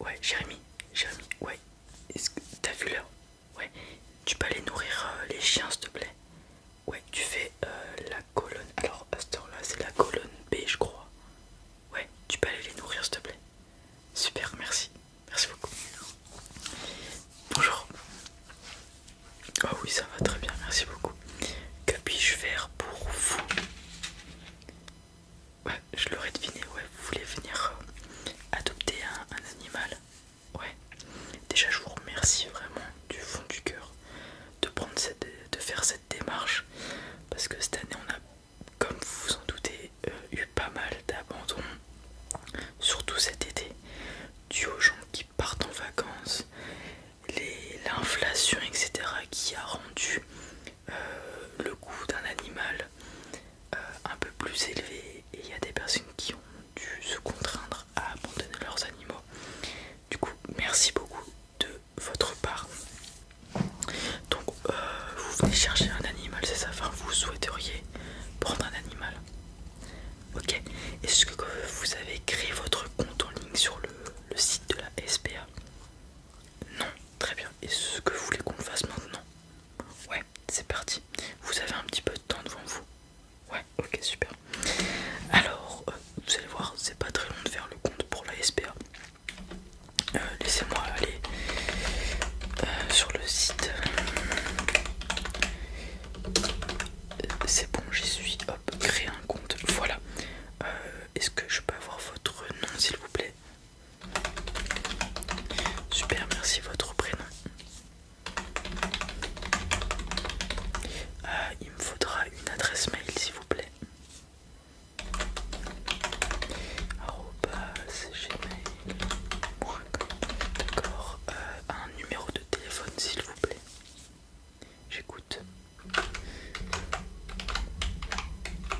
ouais, Jérémy, Jérémy, ouais. Est-ce que t'as vu l'heure Ouais. Tu peux aller nourrir euh, les chiens, s'il te plaît. Ouais, tu fais euh, la colonne. Alors, à là c'est la colonne B, je crois. Ouais, tu peux aller les nourrir, s'il te plaît. Super, merci. Merci beaucoup. Bonjour. Ah oui, ça va très bien, merci beaucoup. Que puis-je faire pour vous Ouais, je l'aurais deviné, ouais, vous voulez venir euh, adopter un, animal Ouais. Déjà je vous remercie vraiment du fond du cœur de prendre cette de faire cette démarche parce que cette année on a comme vous vous en doutez euh, eu pas mal d'abandon, surtout cet été dû aux gens qui partent en vacances l'inflation, etc., qui a rendu euh, le coût d'un animal euh, un peu plus élevé. Et il y a des personnes qui ont dû se contraindre à abandonner leurs animaux. Du coup, merci beaucoup de votre part. Donc, euh, vous venez chercher un animal, c'est ça Enfin, vous souhaiteriez prendre un animal Ok. Est-ce que vous avez créé votre compte en ligne sur le site de la SPA non, très bien. Et ce que vous voulez qu'on fasse maintenant Ouais, c'est parti. Vous avez un petit peu de temps devant vous Ouais, ok, super. Alors, euh, vous allez voir, c'est pas très long de faire le compte pour la SPA. Euh, laissez-moi aller euh, sur le site. C'est bon, j'y suis. Hop, créer un compte. Voilà. Euh, est-ce que je peux avoir votre nom s'il vous plaît Super, merci votre prénom. Euh, il me faudra une adresse mail s'il vous plaît. D'accord. Euh, un numéro de téléphone s'il vous plaît. J'écoute.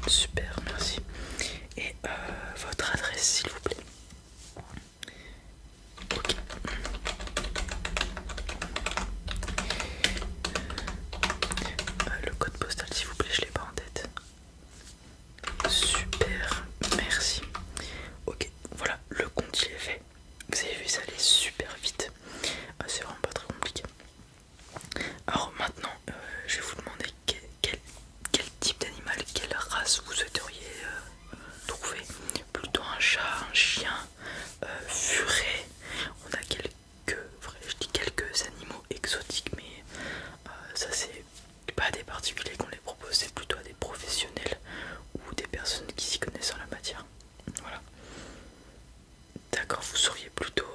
Super, merci. Et euh, votre adresse, s'il vous plaît. Ok. Euh, le code postal, s'il vous plaît, je l'ai pas en tête. Super, merci. Ok, voilà, le compte il est fait. Vous avez vu, ça allait super vite. Euh, c'est vraiment pas très compliqué. Alors maintenant, euh, je vais vous demander quel, type d'animal, quelle race vous souhaiteriez euh, trouver. Plutôt un chat, un chien, un furet. On a quelques je dis quelques animaux exotiques mais ça c'est pas des particuliers qu'on les propose c'est plutôt à des professionnels ou des personnes qui s'y connaissent en la matière voilà D'accord, vous seriez plutôt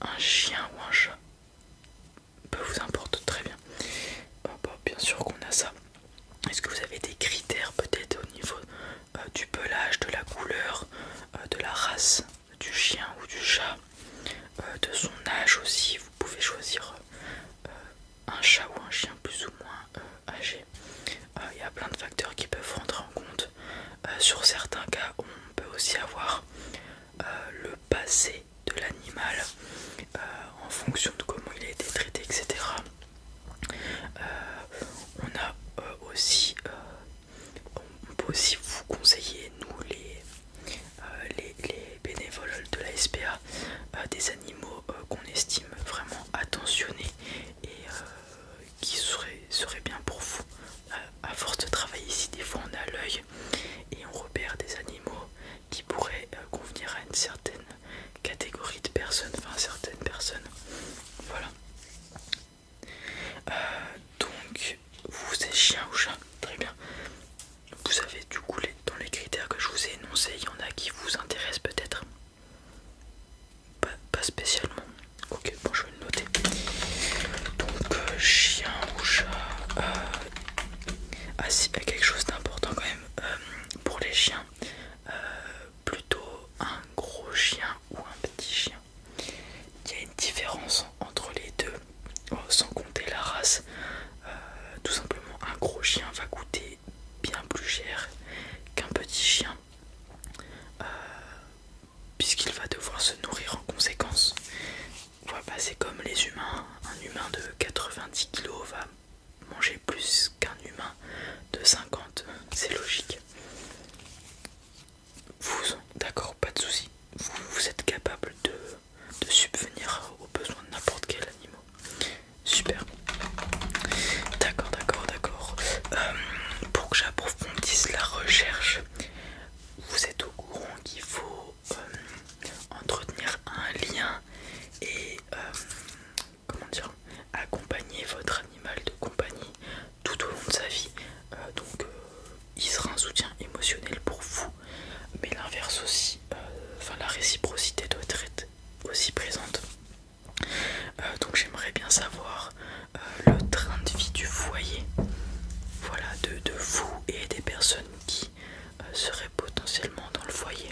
un chien ou un chat Peu vous importe, très bien. Euh, bah, bien sûr qu'on a ça. Est-ce que vous avez des critères peut-être au niveau euh, du pelage, de la couleur, euh, de la race du chien ou du chat, de son âge aussi Vous pouvez choisir un chat ou un chien plus ou moins âgé. Euh, il y a plein de facteurs qui peuvent rentrer en compte. Euh, sur certains cas, on peut aussi avoir euh, le passé de l'animal en fonction de comment il a été traité, etc. on a aussi, peut aussi vous conseiller, nous les, les, bénévoles de la SPA, des animaux qu'on estime vraiment attentionnés et qui serait, bien pour vous. Euh, à, force de travailler ici, des fois on a l'œil et on repère des animaux qui pourraient euh, convenir à une certaine catégorie de personnes, enfin certaines personnes. Voilà. Euh, donc, vous êtes chien ou chat Très bien. Vous avez du coup dans les critères que je vous ai énoncés, il y en a qui vous intéressent peut-être pas, spécialement. Ok, bon, je vais noter. Donc, euh, chien ou chat. Euh, ah, quelque chose d'important quand même euh, pour les chiens. plutôt un gros chien ou un petit chien. Il y a une différence entre les deux, sans compter la race. tout simplement, un gros chien va coûter bien plus cher qu'un petit chien euh, puisqu'il va devoir se nourrir en conséquence. Voilà, c'est comme les humains, un humain de 90 kg va manger plus qu'un humain de 50, c'est logique. Vous, d'accord, pas de souci. Vous, êtes capable de, de subvenir aux besoins de n'importe quel animal. Super. D'accord, d'accord, d'accord. Euh, pour que j'approfondisse la recherche, vous êtes au courant qu'il faut euh, entretenir un lien et euh, accompagner votre animal de compagnie tout au long de sa vie. donc il sera un soutien émotionnel pour vous, mais l'inverse aussi. Enfin, la réciprocité doit être aussi présente. Euh, donc j'aimerais bien savoir euh, le train de vie du foyer, voilà, de, vous et des personnes qui euh, seraient potentiellement dans le foyer.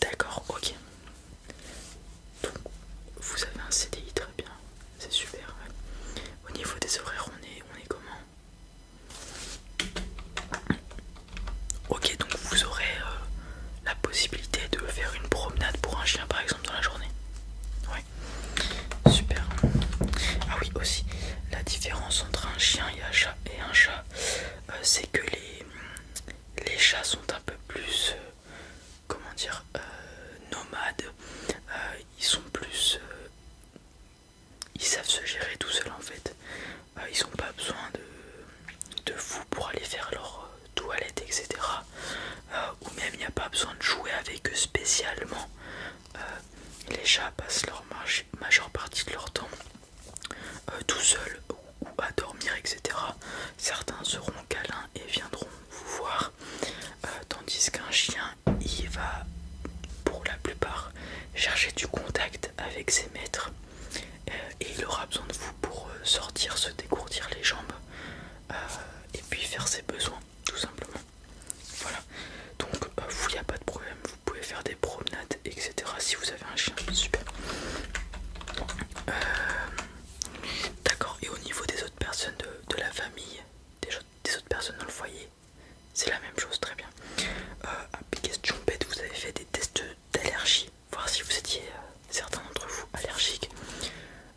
D'accord, ok. vous avez un CDI très bien, c'est super. Au niveau des horaires, on est, on est comment Ok, donc vous aurez euh, la possibilité de faire une promenade pour un chien par exemple dans la journée. Ouais, super. Ah oui, aussi, la différence entre un chien et un chat, et un chat euh, c'est que les, les chats sont un peu plus, euh, comment dire, nomades. ils sont plus ils savent se gérer tout seuls en fait. Euh, ils n'ont pas besoin de, de vous pour aller faire leur euh, toilette, etc. Euh, ou même il n'y a pas besoin de jouer avec eux spécialement. les chats passent leur majeure partie de leur temps tout seuls ou, à dormir, etc. Certains seront câlins et viendront vous voir, tandis qu'un chien, il va pour la plupart chercher du contact avec ses maîtres euh, et il aura besoin de vous pour euh, sortir, se dégourdir les jambes euh, et puis faire ses besoins tout simplement. Voilà, donc vous il n'y a pas de problème, vous pouvez faire des promenades etc. Si vous avez un chien, super. D'accord, et au niveau des autres personnes de, la famille, des autres personnes dans le foyer, c'est la même chose, très bien. question euh, vous avez fait des tests d'allergie, voir si vous étiez euh, certains d'entre vous allergiques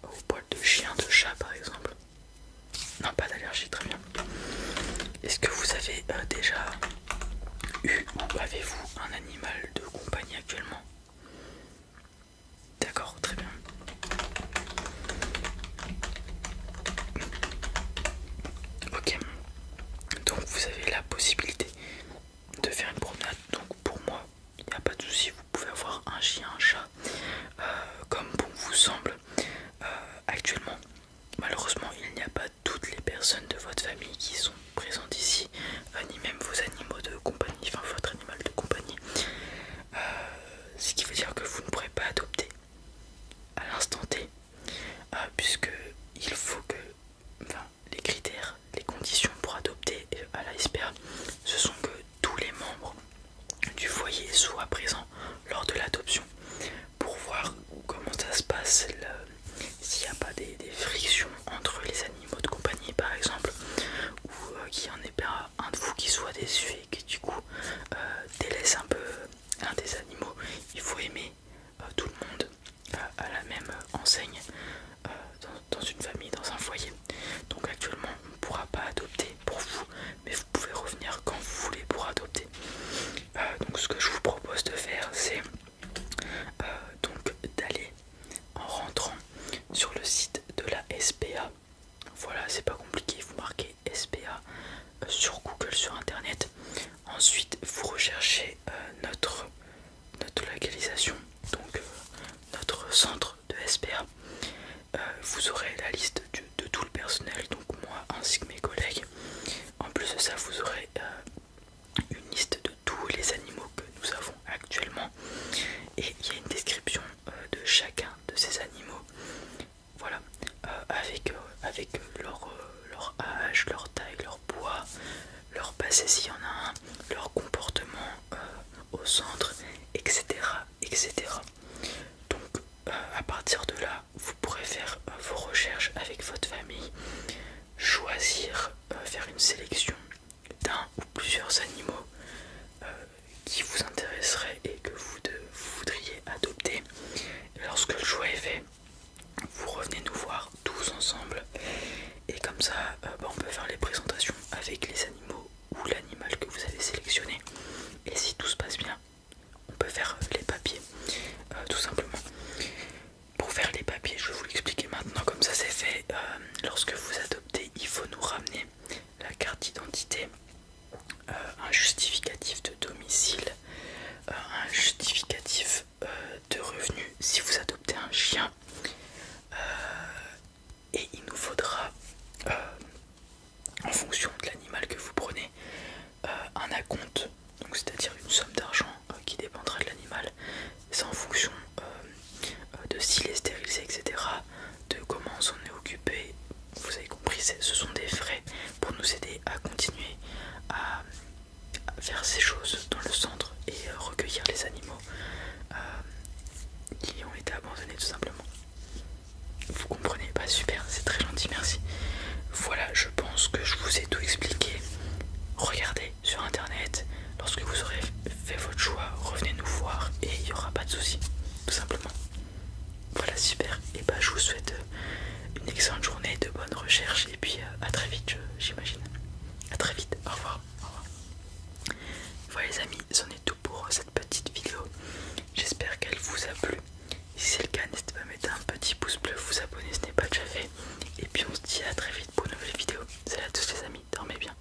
au poils de chien, de chat par exemple. Non, pas d'allergie, très bien. Est-ce que vous avez euh, déjà eu ou avez-vous un animal de compagnie actuellement D'accord, très bien. Ok, donc vous avez la possibilité de faire une promenade. Donc pour moi, il n'y a pas de souci, vous pouvez avoir un chien, un chat, euh, comme bon vous semble. Euh, actuellement, malheureusement, il n'y a pas toutes les personnes de votre famille qui sont présentes ici, euh, ni même vos animaux de compagnie, enfin votre animal de compagnie. ce qui veut dire que vous ne pourrez pas adopter à l'instant T, euh, puisque il faut que les critères, les conditions pour adopter euh, à la SPA, ce sont que tous les membres du foyer soient présents lors de l'adoption pour voir comment ça se passe, s'il n'y a pas des, frictions entre les animaux de compagnie par exemple, ou euh, qu'il y en ait pas un de vous qui soit déçu et qui du coup délaisse un peu un des animaux, il faut aimer euh, tout le monde euh, à la même enseigne euh, dans, une famille, dans un foyer. Donc actuellement on ne pourra pas adopter pour vous, mais vous pouvez revenir quand vous voulez pour adopter. donc ce que je vous propose de faire c'est donc d'aller en rentrant sur le site de la SPA. Voilà, c'est pas compliqué, vous marquez SPA euh, sur Google, sur Internet. Ensuite, vous recherchez euh, notre, notre localisation, donc euh, notre centre de SPA. vous aurez la liste de tout le personnel, donc moi ainsi que mes collègues. En plus de ça, vous aurez une liste de tous les animaux que nous avons actuellement. Et il y a une description de chacun de ces animaux voilà, euh, avec, euh, avec euh, leur, leur âge, leur taille, leur poids, leur passé s'il y en a un, leur comportement au centre, etc. etc. Donc à partir de là, vous pourrez faire vos recherches avec votre famille, choisir, faire une sélection d'un ou plusieurs animaux qui vous intéresserait et que vous, voudriez adopter. Lorsque le choix est fait, vous revenez nous voir tous ensemble et comme ça euh, bah, on peut faire les présentations avec les animaux ou l'animal que vous avez sélectionné et si tout se passe bien on peut faire euh, les papiers euh, tout simplement pour faire les papiers je vais vous l'expliquer maintenant comme ça c'est fait lorsque vous adoptez il faut nous ramener la carte d'identité euh, un justificatif de domicile, euh, un justificatif euh, de revenus si vous adoptez un chien et il nous faudra en fonction de l'animal que vous prenez un acompte, donc c'est-à-dire une somme d'argent qui dépendra de l'animal, c'est en fonction euh, de s'il est stérilisé, etc. De comment on s'en est occupé. Vous avez compris, ce sont des frais pour nous aider à continuer à faire ces choses dans le centre et euh, recueillir les animaux euh, qui ont été abandonnés tout simplement. Vous comprenez pas bah, super, c'est très gentil, merci. Voilà, je pense que je vous ai tout expliqué. Regardez sur internet lorsque vous aurez faites votre choix, revenez nous voir et il n'y aura pas de soucis, tout simplement. Voilà, super. Et bah, je vous souhaite euh, une excellente journée, de bonnes recherche et puis euh, à très vite, j'imagine. À très vite, au revoir. Voilà, les amis, c'en est tout pour euh, cette petite vidéo. J'espère qu'elle vous a plu. Si c'est le cas, n'hésitez pas à mettre un petit pouce bleu, vous abonner ce n'est pas déjà fait. Et puis on se dit à très vite pour une nouvelle vidéo. Salut à tous les amis, dormez bien.